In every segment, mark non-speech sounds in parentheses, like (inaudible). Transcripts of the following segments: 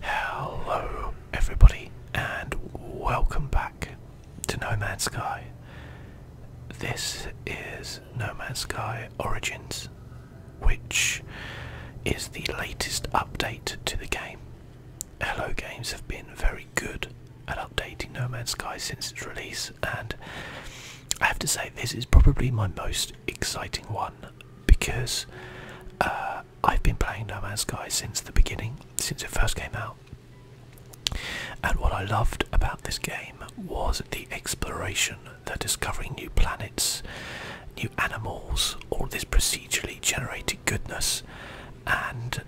Hello, everybody, and welcome back to No Man's Sky. This is No Man's Sky Origins, which is the latest update to the game. Hello Games have been very good at updating No Man's Sky since its release, and I have to say, this is probably my most exciting one because uh, I've been playing No Man's Sky since the beginning, since it first came out. And what I loved about this game was the exploration, the discovering new planets, new animals, all this procedurally generated goodness. And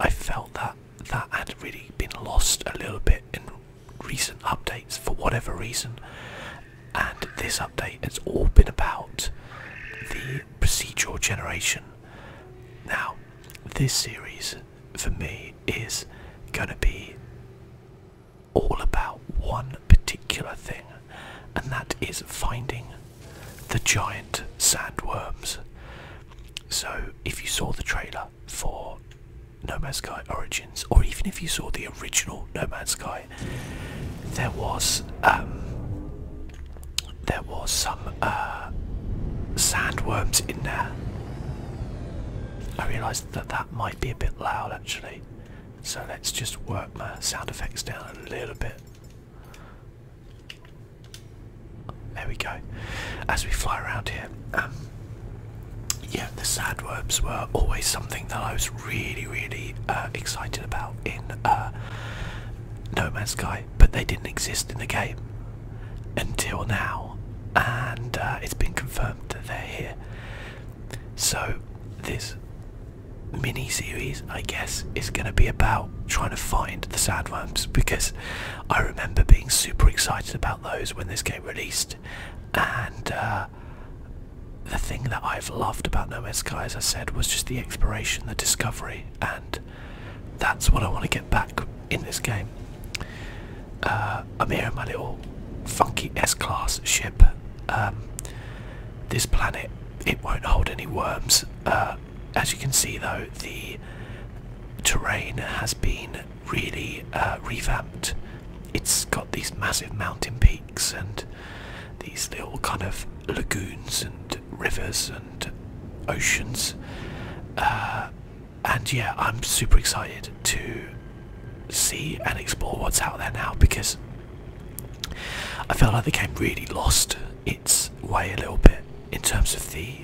I felt that that had really been lost a little bit in recent updates for whatever reason and this update has all been about the procedural generation. Now, this series for me is going to be all about one particular thing, and that is finding the giant sandworms. So, if you saw the trailer for No Man's Sky Origins, or even if you saw the original No Man's Sky there was um, there was some uh, sandworms in there. I realised that that might be a bit loud actually, so let's just work my sound effects down a little bit. There we go. As we fly around here, um, yeah, the sandworms were always something that I was really, really uh, excited about in uh, No Man's Sky, but they didn't exist in the game until now, and uh, it's been confirmed that they're here. So this mini series, I guess, is going to be about trying to find the worms because I remember being super excited about those when this game released, and uh, the thing that I've loved about No Man's Sky, as I said, was just the exploration, the discovery, and that's what I want to get back in this game. I'm here in my little funky S-class ship. Um, this planet, it won't hold any worms. Uh, as you can see, though, the terrain has been really uh, revamped. It's got these massive mountain peaks and these little kind of lagoons and rivers and oceans. Uh, and yeah, I'm super excited to see and explore what's out there now because I felt like the game really lost its way a little bit in terms of the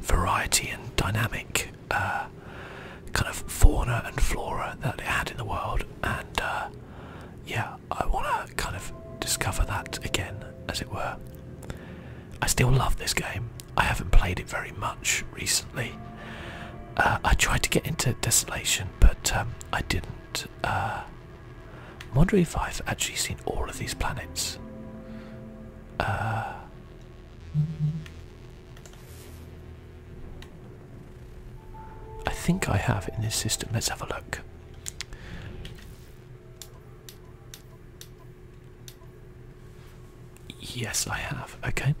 variety and dynamic uh, kind of fauna and flora that it had in the world, and uh, yeah, I want to kind of discover that again, as it were. I still love this game. I haven't played it very much recently. Uh, I tried to get into Desolation, but um, I didn't. Uh, i if I've actually seen all of these planets. Uh, I think I have in this system. Let's have a look. Yes, I have. Okay.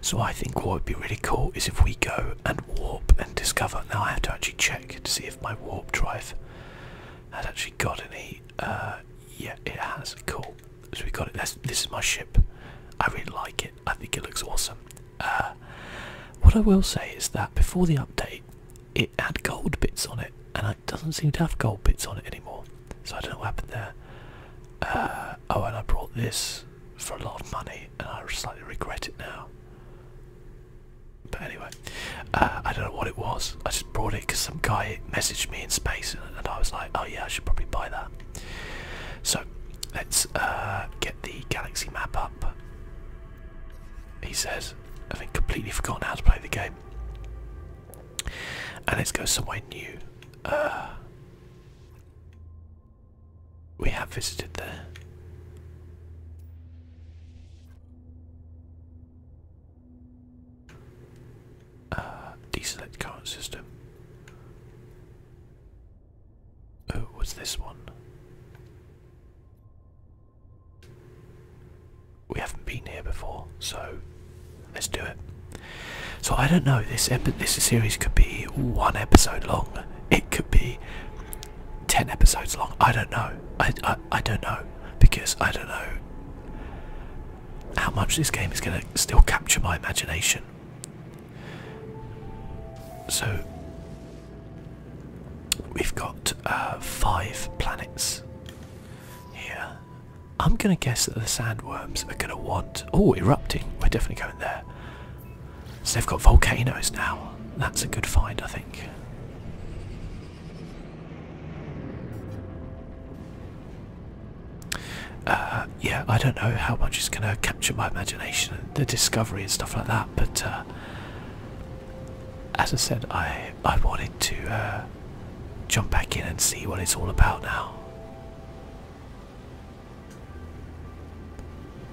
So I think what would be really cool is if we go and warp and discover. Now I have to actually check to see if my warp drive has actually got any. Uh, yeah, it has. Cool. So we got it. this is my ship. I really like it. I think it looks awesome. Uh, what I will say is that before the update, it had gold bits on it, and it doesn't seem to have gold bits on it anymore. So I don't know what happened there. Uh, oh, and I brought this for a lot of money, and I slightly regret it now. But anyway, uh, I don't know what it was. I just brought it because some guy messaged me in space, and, I was like, "Oh yeah, I should probably buy that." So let's get the galaxy map up up. He says, having completely forgotten how to play the game. And let's go somewhere new. Uh, we have visited there. Uh, deselect current system. Oh, was this one? We haven't been here before, so let's do it. So I don't know. This this series could be one episode long. It could be ten episodes long. I don't know. I, I don't know because I don't know how much this game is going to still capture my imagination. So we've got uh, five planets here. I'm gonna guess that the sandworms are gonna want. Oh, erupting! We're definitely going there. So they've got volcanoes now. That's a good find, I think. Uh, yeah, I don't know how much is gonna capture my imagination the discovery and stuff like that. But uh, as I said, I I wanted to uh, jump back in and see what it's all about now.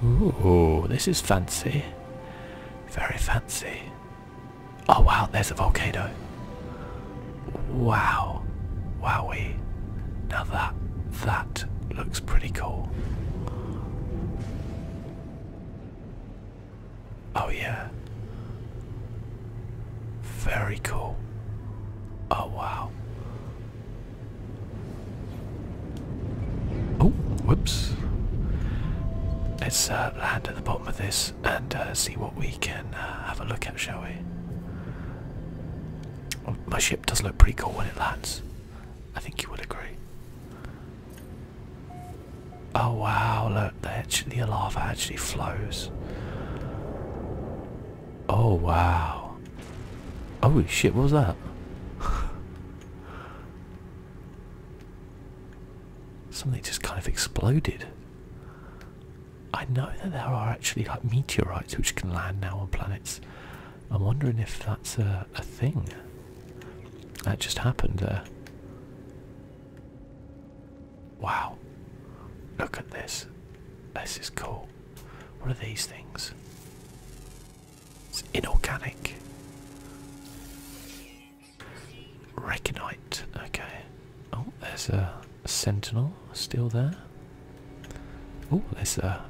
Ooh, this is fancy. Very fancy. Oh wow, there's a volcano. Wow. Wowie. Now that that looks pretty cool. Oh, yeah. Very cool. Oh, wow. Oh, whoops. Let's uh, land at the bottom of this and uh, see what we can uh, have a look at, shall we? Oh, my ship does look pretty cool when it lands. I think you would agree. Oh wow, look, the lava actually flows. Oh wow. Oh shit, what was that? (laughs) Something just kind of exploded. I know that there are actually like meteorites which can land now on planets. I'm wondering if that's a, a thing that just happened there. Wow. Look at this. This is cool. What are these things? It's inorganic. Reconite. Okay. Oh, there's a sentinel still there. Oh, there's a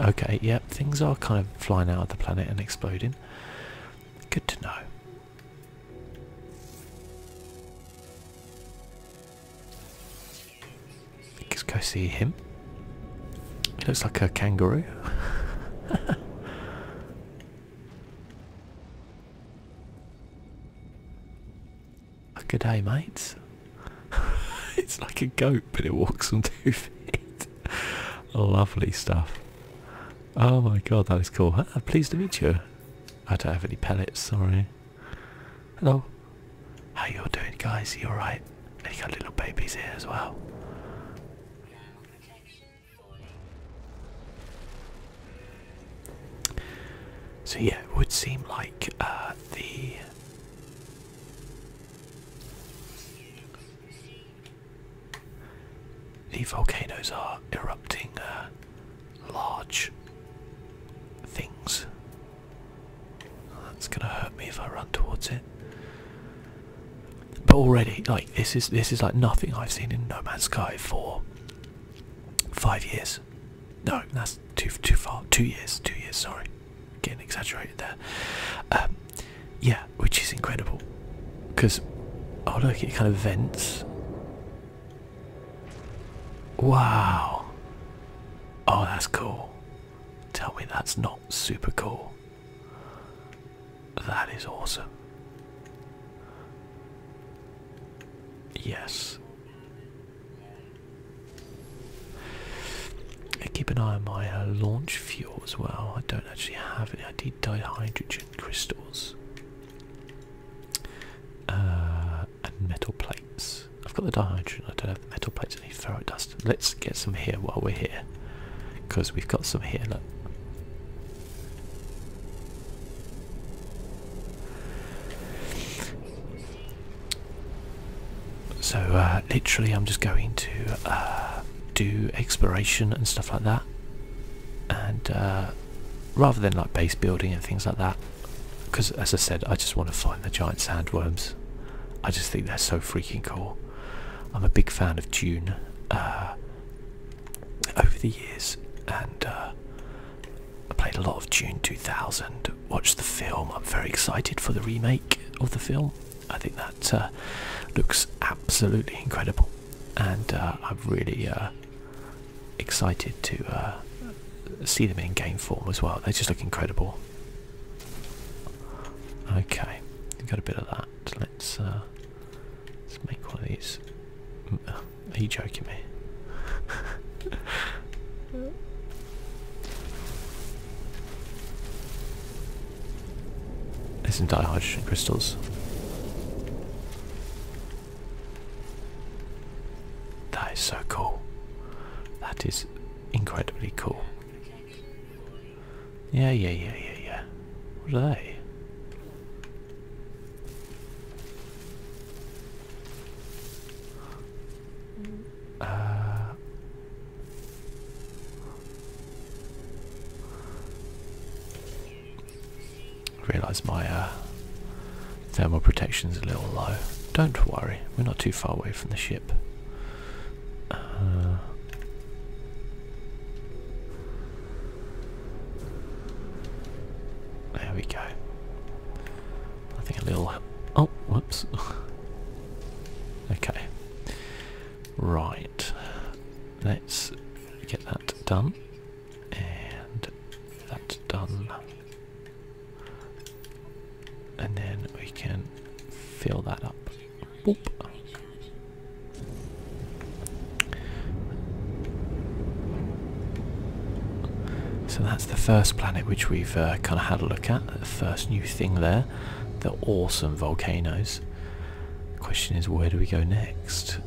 Okay, yep, things are kind of flying out of the planet and exploding. Good to know. Let's go see him. He looks like a kangaroo. (laughs) good day, mates. (laughs) it's like a goat, but it walks on two (laughs) feet. Lovely stuff. Oh my god, that is cool. Ah, pleased to meet you. I don't have any pellets, sorry. Hello. How you all doing, guys? You alright? And you got little babies here as well. So yeah, it would seem like uh, the the volcanoes are erupting uh, large things. That's gonna hurt me if I run towards it. But already, like this is this is like nothing I've seen in No Man's Sky before. Five years. No, that's too too far. Two years. Two years. Sorry, getting exaggerated there. Um, yeah, which is incredible. Because oh look, it kind of vents. Wow. Oh, that's cool. Tell me that's not super cool. That is awesome. Yes. keep an eye on my uh, launch fuel as well. I don't actually have any. I need dihydrogen crystals uh, and metal plates. I've got the dihydrogen. I don't have the metal plates. I need ferro dust. Let's get some here while we're here, because we've got some here. Look. So uh, literally I'm just going to uh, do exploration and stuff like that and uh, rather than like base building and things like that because as I said I just want to find the giant sandworms. I just think they're so freaking cool. I'm a big fan of Dune over the years and I played a lot of June 2000, watched the film. I'm very excited for the remake of the film. I think that uh, looks absolutely incredible, and uh, I'm really uh, excited to see them in game form as well. They just look incredible. Okay, got a bit of that. Let's Let's make one of these. Are you joking me? yeah. There's some dihydrogen crystals. That is so cool. That is incredibly cool. Yeah, yeah, yeah, yeah, yeah. What are they? Uh, Realise my uh, thermal protection is a little low. Don't worry, we're not too far away from the ship. Uh, there we go. I think a little. Oh, whoops. (laughs) okay. Right. Let's get that done. And that's done. And then we can fill that up. So that's the first planet which we've uh, kind of had a look at, the first new thing there. the awesome volcanoes. The question is, where do we go next?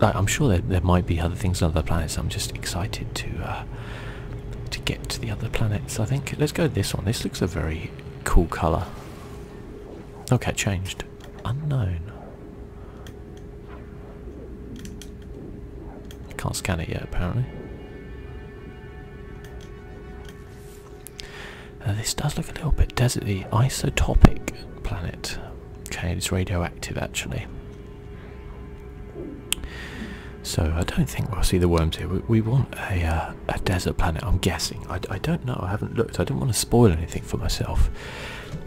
I'm sure there, might be other things on other planets. I'm just excited to uh, to get to the other planets. I think let's go this one. This looks a very cool color. Okay, changed. Unknown. can't scan it yet, apparently. Uh, this does look a little bit deserty. Isotopic planet. Okay, it's radioactive, actually. So I don't think we'll see the worms here. We, want a uh, a desert planet, I'm guessing. I, don't know, I haven't looked. I do not want to spoil anything for myself.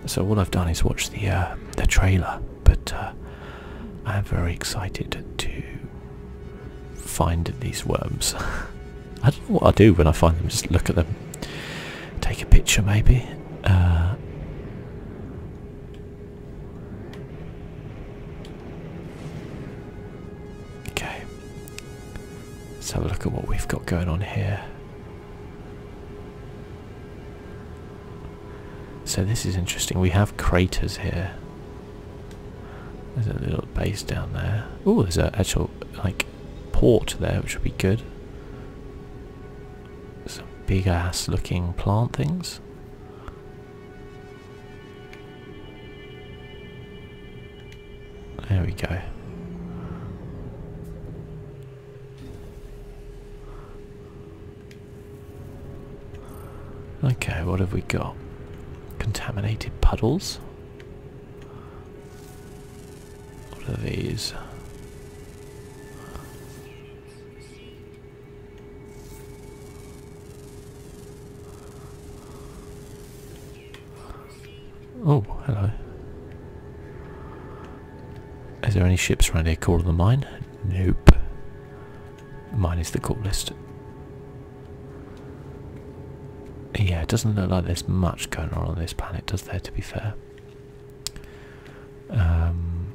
So all I've done is watch the, uh, the trailer, but uh, I am very excited to find these worms. (laughs) I don't know what I do when I find them, just look at them. Take a picture maybe. Uh, okay. Let's have a look at what we've got going on here. So this is interesting. We have craters here. There's a little base down there. Oh, there's a actual like port there, which would be good. Some big ass looking plant things. There we go. Okay, what have we got? Contaminated puddles. What are these? Oh, hello. Is there any ships around here cooler than mine? Nope. Mine is the coolest. Yeah, it doesn't look like there's much going on on this planet, does there, to be fair? Um,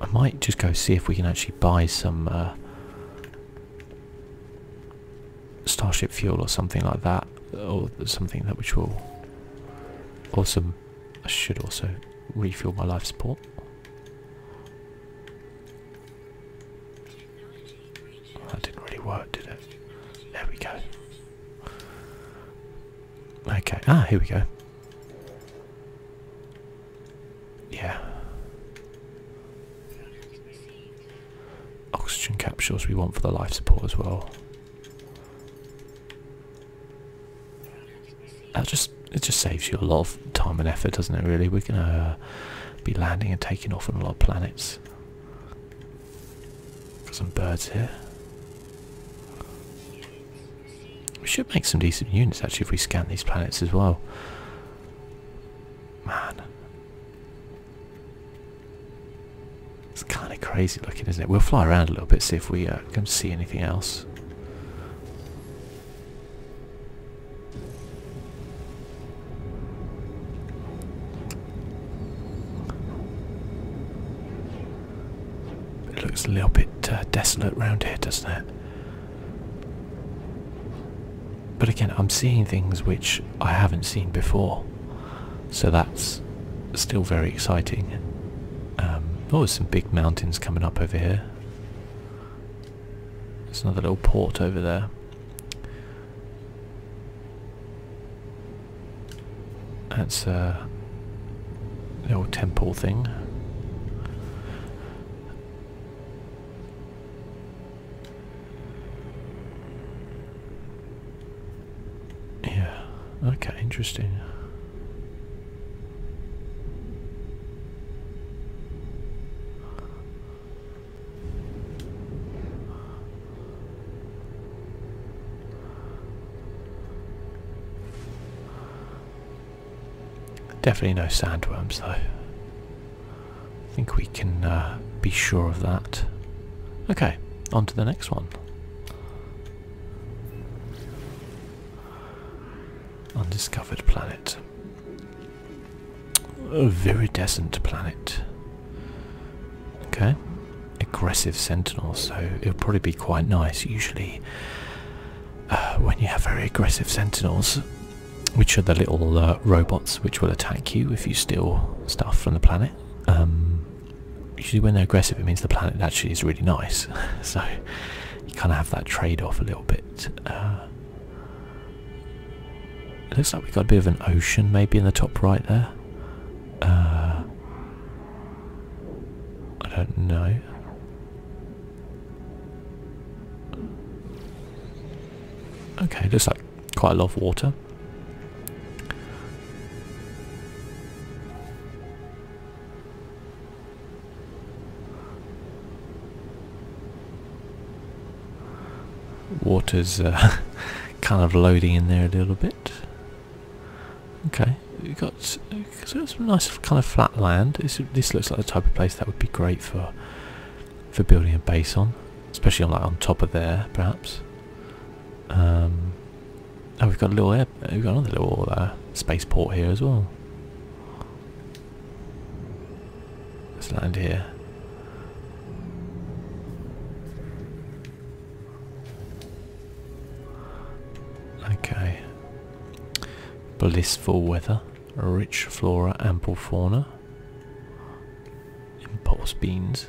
I might just go see if we can actually buy some uh, starship fuel or something like that, or something that which will. Awesome. I should also refuel my life support. that didn't really work, did it? There we go. Okay, ah, here we go. Yeah oxygen capsules we want for the life support as well. That just it just saves you a lot of time and effort, doesn't it? Really, we're gonna uh, be landing and taking off on a lot of planets. some birds here. We should make some decent units actually if we scan these planets as well. Man, it's kind of crazy looking, isn't it? We'll fly around a little bit, see if we uh, can see anything else. It looks a little bit uh, desolate around here, doesn't it? But again, I'm seeing things which I haven't seen before, so that's still very exciting. Um, oh, there's some big mountains coming up over here. There's another little port over there. That's a little temple thing. Yeah, okay, interesting. Definitely no sandworms though. I think we can uh, be sure of that. Okay, on to the next one. Undiscovered planet. A viridescent planet. Okay. Aggressive sentinel, so it'll probably be quite nice. Usually, uh, when you have very aggressive sentinels, which are the little uh, robots which will attack you if you steal stuff from the planet. Um, usually when they're aggressive it means the planet actually is really nice. (laughs) so you kind of have that trade-off a little bit. Uh, looks like we've got a bit of an ocean maybe in the top right there. Uh, I don't know. Okay, looks like quite a lot of water. Water's uh, (laughs) kind of loading in there a little bit. Okay, we've got, we've got some nice kind of flat land. this looks like the type of place that would be great for for building a base on. Especially on like on top of there, perhaps. Um, oh, we've got a little air. We've got another little uh, spaceport here as well. Let's land here. Okay. Blissful weather, rich flora, ample fauna. Impulse beans.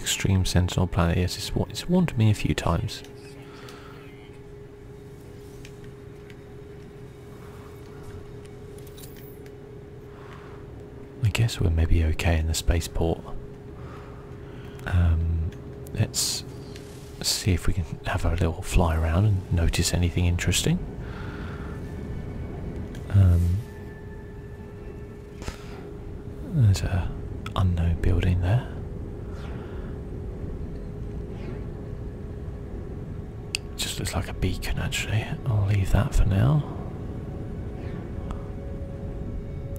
Extreme central Planet, yes, it's, it's warned me a few times. I guess we're maybe okay in the spaceport. Um, let's see if we can have a little fly around and notice anything interesting. Um, there's a unknown building there. It just looks like a beacon actually. I'll leave that for now.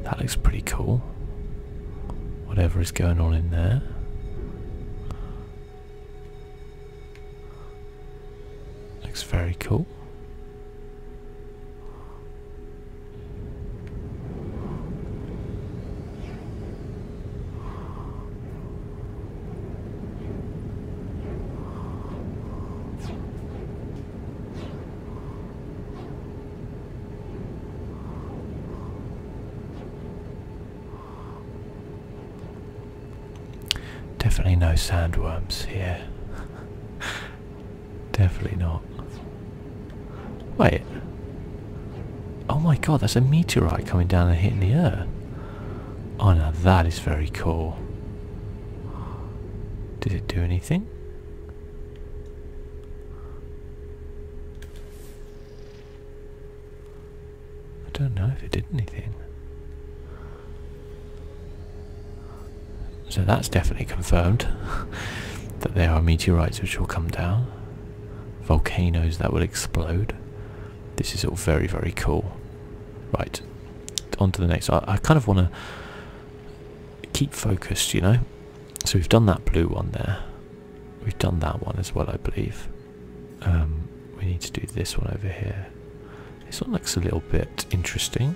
That looks pretty cool. Whatever is going on in there. Looks very cool. Definitely no sandworms here. (laughs) Definitely not. Wait. Oh my god, that's a meteorite coming down and hitting the earth. Oh no, that is very cool. Did it do anything? I don't know if it did anything. So that's definitely confirmed (laughs) that there are meteorites which will come down, volcanoes that will explode. This is all very, very cool. Right, on to the next. I, kind of want to keep focused, you know. So we've done that blue one there. We've done that one as well, I believe. Um, we need to do this one over here. This one looks a little bit interesting.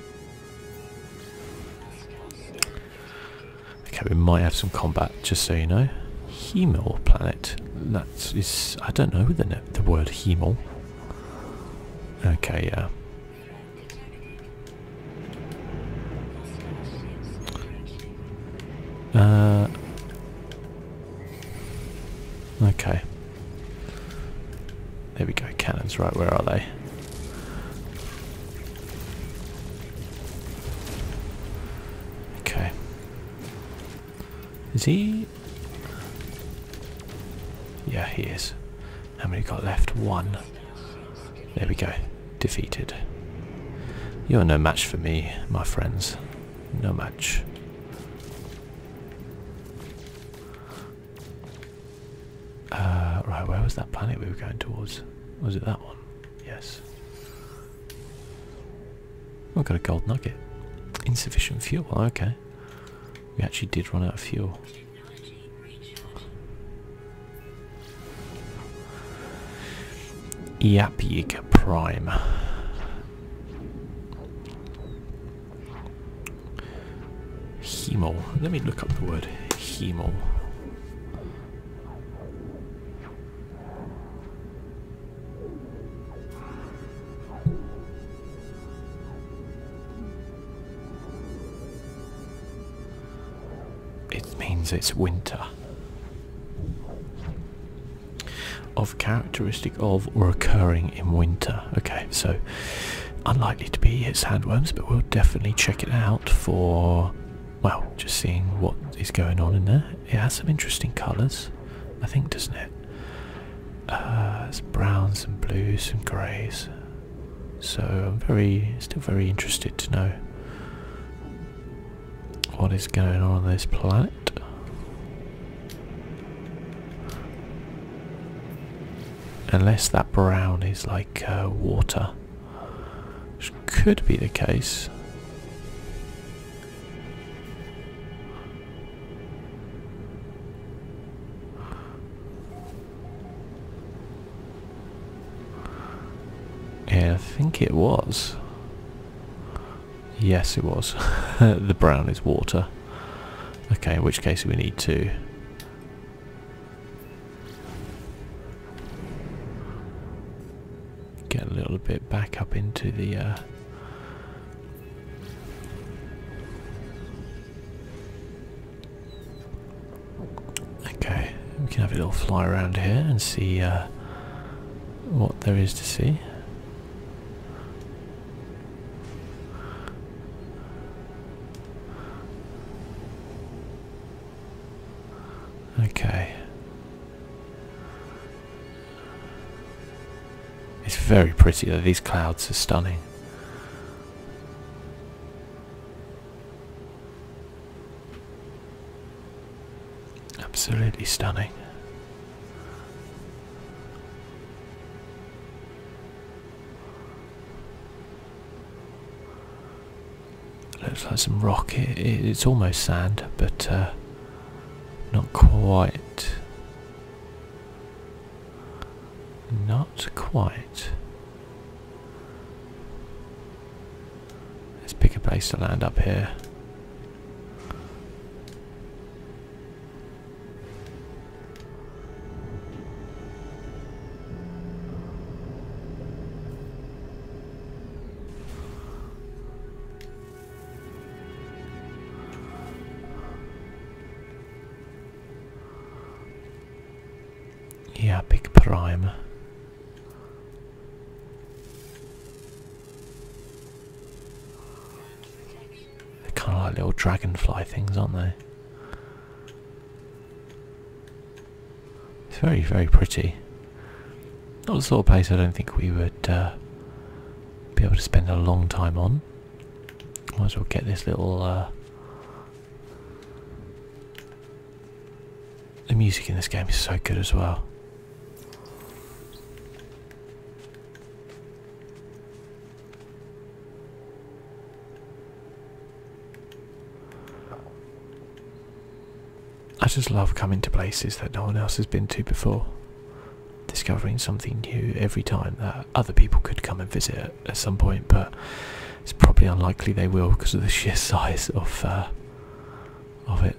Okay, we might have some combat, just so you know. Hemel planet. That is, I don't know the the word Hemel. Okay, yeah. Uh, okay. There we go, cannons, right, where are they? Okay. Is he... Yeah, he is. How many got left? One. There we go. Defeated. You're no match for me, my friends. No match. Uh, right, where was that planet we were going towards? Was it that one? Yes. Oh, I got a gold nugget. Insufficient fuel, okay. We actually did run out of fuel. Yapyik Prime. Hemol. Let me look up the word hemol. It means it's winter. Of characteristic of or occurring in winter. Okay, so unlikely to be it's handworms, but we'll definitely check it out for well, just seeing what is going on in there. It has some interesting colours, I think, doesn't it? it's uh, browns and blues and greys. So I'm very, still very interested to know what is going on on this planet. Unless that brown is like uh, water, which could be the case. Yeah, I think it was. Yes, it was. (laughs) the brown is water. Okay, in which case we need to... Get a little bit back up into the... Uh, Okay, we can have a little fly around here and see uh, what there is to see. Okay. It's very pretty these clouds are stunning. Absolutely stunning. Looks like some rock. it's almost sand, but uh, not quite. Not quite. Let's pick a place to land up here. Yeah, big prime. They're kind of like little dragonfly things, aren't they? It's very, very pretty. Not the sort of place I don't think we would uh, be able to spend a long time on. Might as well get this little uh, the music in this game is so good as well. I just love coming to places that no one else has been to before. Discovering something new every time that other people could come and visit at, some point, but it's probably unlikely they will because of the (laughs) sheer size of uh, of it.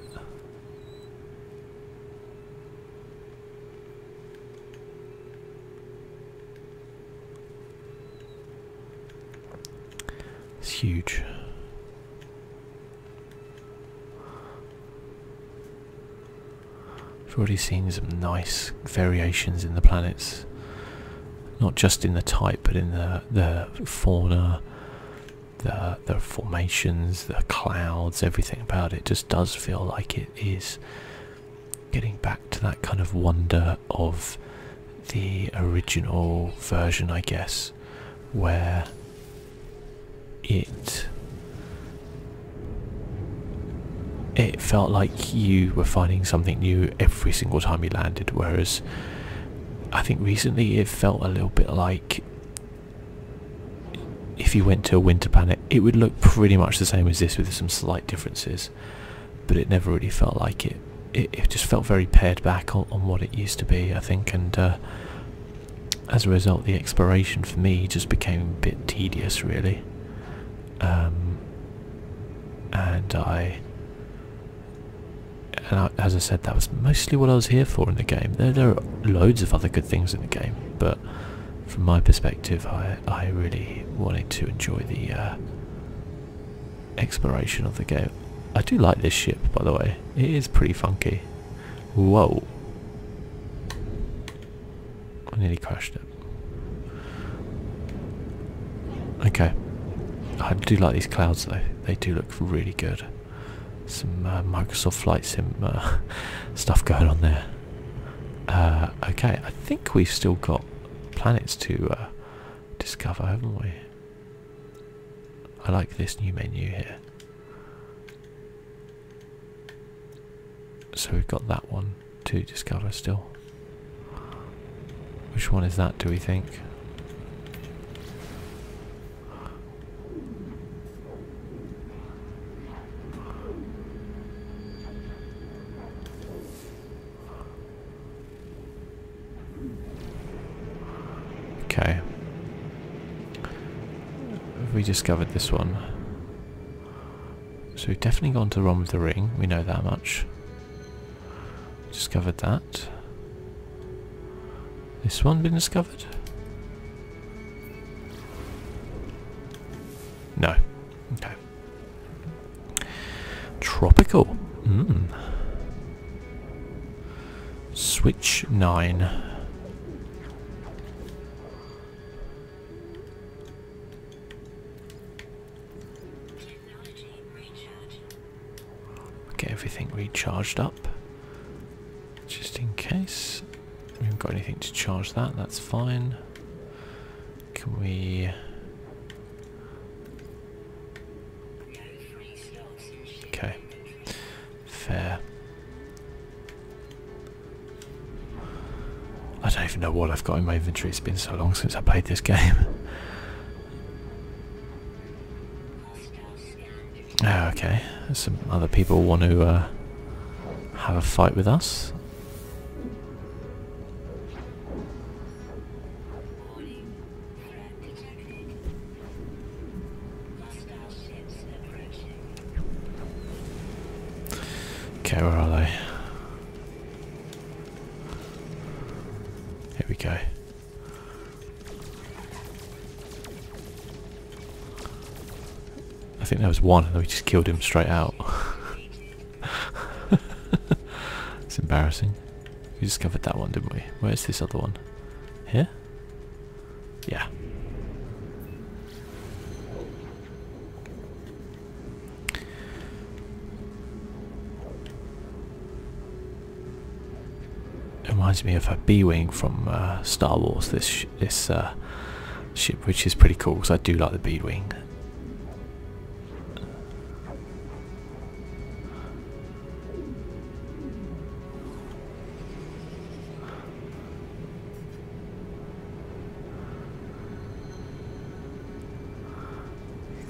It's huge. I've already seen some nice variations in the planets, not just in the type, but in the the fauna, the the formations, the clouds, everything about it. Just does feel like it is getting back to that kind of wonder of the original version, I guess, where it it felt like you were finding something new every single time you landed, whereas I think recently it felt a little bit like if you went to a winter planet, it would look pretty much the same as this with some slight differences, but it never really felt like it. It, just felt very pared back on, what it used to be, I think, and uh, as a result, the exploration for me just became a bit tedious, really. Um, and I and as I said, that was mostly what I was here for in the game. There, are loads of other good things in the game, but from my perspective, I, I really wanted to enjoy the uh, exploration of the game. I do like this ship, by the way. It is pretty funky. Whoa. I nearly crashed it. Okay. I do like these clouds though. They do look really good. Some uh, Microsoft Flight Sim uh, (laughs) stuff going on there. Uh, okay, I think we've still got planets to discover, haven't we? I like this new menu here. So we've got that one to discover still. Which one is that, do we think? Okay. We discovered this one. So we've definitely gone to the wrong with the ring, we know that much. Discovered that. This one been discovered? No. Okay. Tropical. Hmm. Switch 9. Get everything recharged up just in case. We haven't got anything to charge that, that's fine. Can we. Okay. Fair. I don't even know what I've got in my inventory. It's been so long since I played this game. Oh, okay. Some other people want to uh, have a fight with us. Okay, where are they? Here we go. I think there was one and we just killed him straight out. (laughs) it's embarrassing. We discovered that one, didn't we? Where's this other one? Here? Yeah reminds me of a bee B-wing from uh, Star Wars. This this uh, ship, which is pretty cool, because I do like the bee wing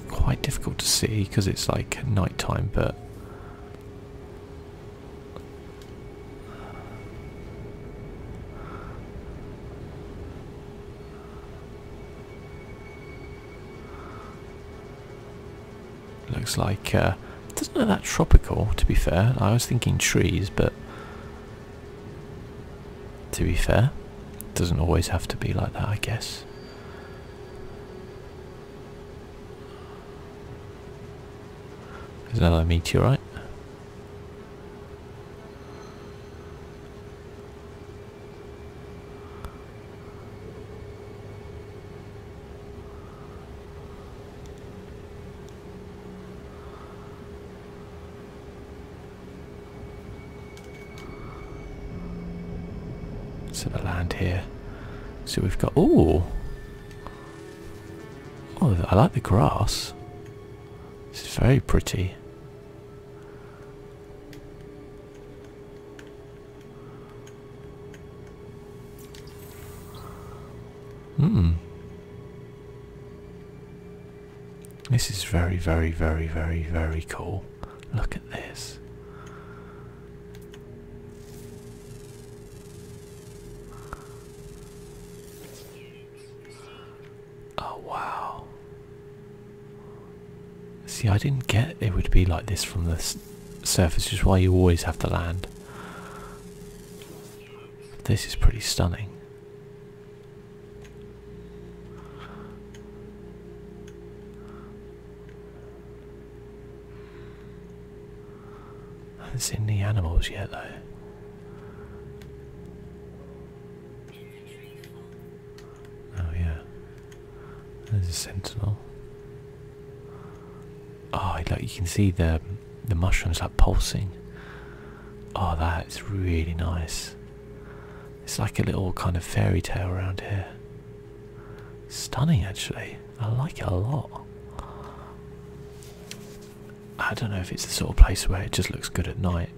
quite difficult to see because it's like nighttime, but looks like uh, doesn't look that tropical. To be fair, I was thinking trees, but to be fair, doesn't always have to be like that, I guess. There's another meteorite. So the land here. So we've got... Ooh! Oh, I like the grass. It's very pretty. Hmm. This is very, very, very, very, very cool. Look at this. Oh, wow. See, I didn't get it would be like this from the surface, Just why you always have to land. This is pretty stunning. I have seen the animals yet, though. Oh, yeah. There's a sentinel. Oh, look, you can see the the mushrooms are pulsing. Oh, that's really nice. It's like a little kind of fairy tale around here. Stunning, actually. I like it a lot. I don't know if it's the sort of place where it just looks good at night.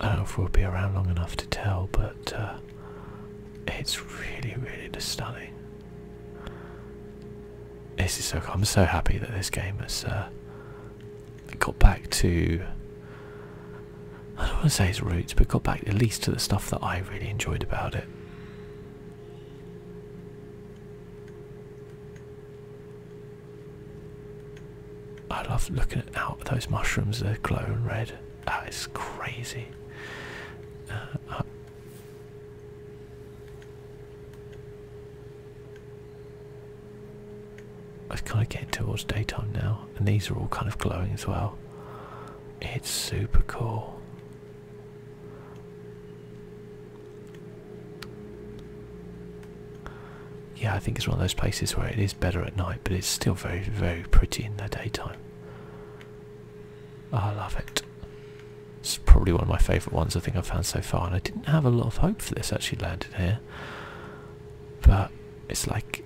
I don't know if we'll be around long enough to tell, but uh, it's really, really stunning. This is so. I'm so happy that this game is got back to I don't want to say its roots, but got back at least to the stuff that I really enjoyed about it. I love looking at out those mushrooms, they're glowing red. That is crazy. Uh, it's kind of getting towards daytime now, and these are all kind of glowing as well. It's super cool. Yeah, I think it's one of those places where it is better at night, but it's still very, very pretty in the daytime. I love it. It's probably one of my favourite ones I think I've found so far, and I didn't have a lot of hope for this actually landed here. But it's like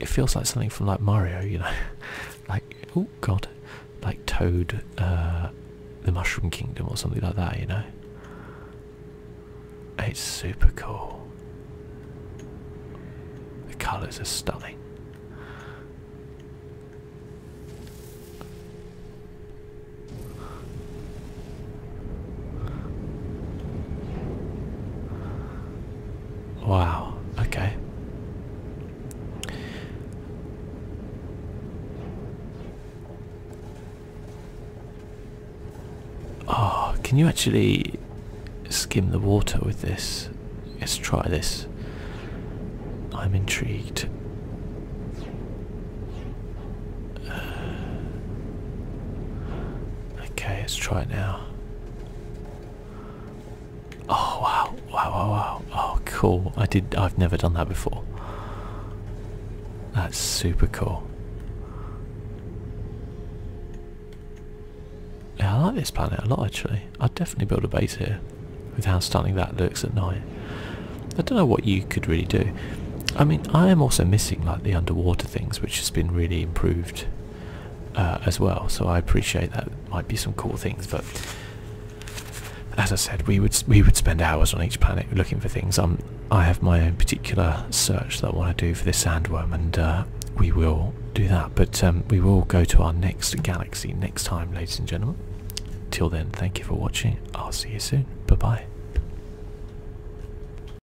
it feels like something from like Mario, you know, (laughs) like oh god, like Toad, uh, the Mushroom Kingdom or something like that, you know. It's super cool. The colours are stunning. Wow, okay. Oh, can you actually skim the water with this? Let's try this. I'm intrigued. Okay, let's try it now. Oh wow, wow, wow, wow. Oh cool. I did I've never done that before. That's super cool. Yeah, I like this planet a lot actually. I'd definitely build a base here with how stunning that looks at night. I don't know what you could really do. I mean, I am also missing like the underwater things, which has been really improved uh, as well. So I appreciate that might be some cool things, but as I said, we would we would spend hours on each planet looking for things. Um, I have my own particular search that I want to do for this sandworm, and uh, we will do that. But um, we will go to our next galaxy next time, ladies and gentlemen. Till then, thank you for watching. I'll see you soon. Bye bye.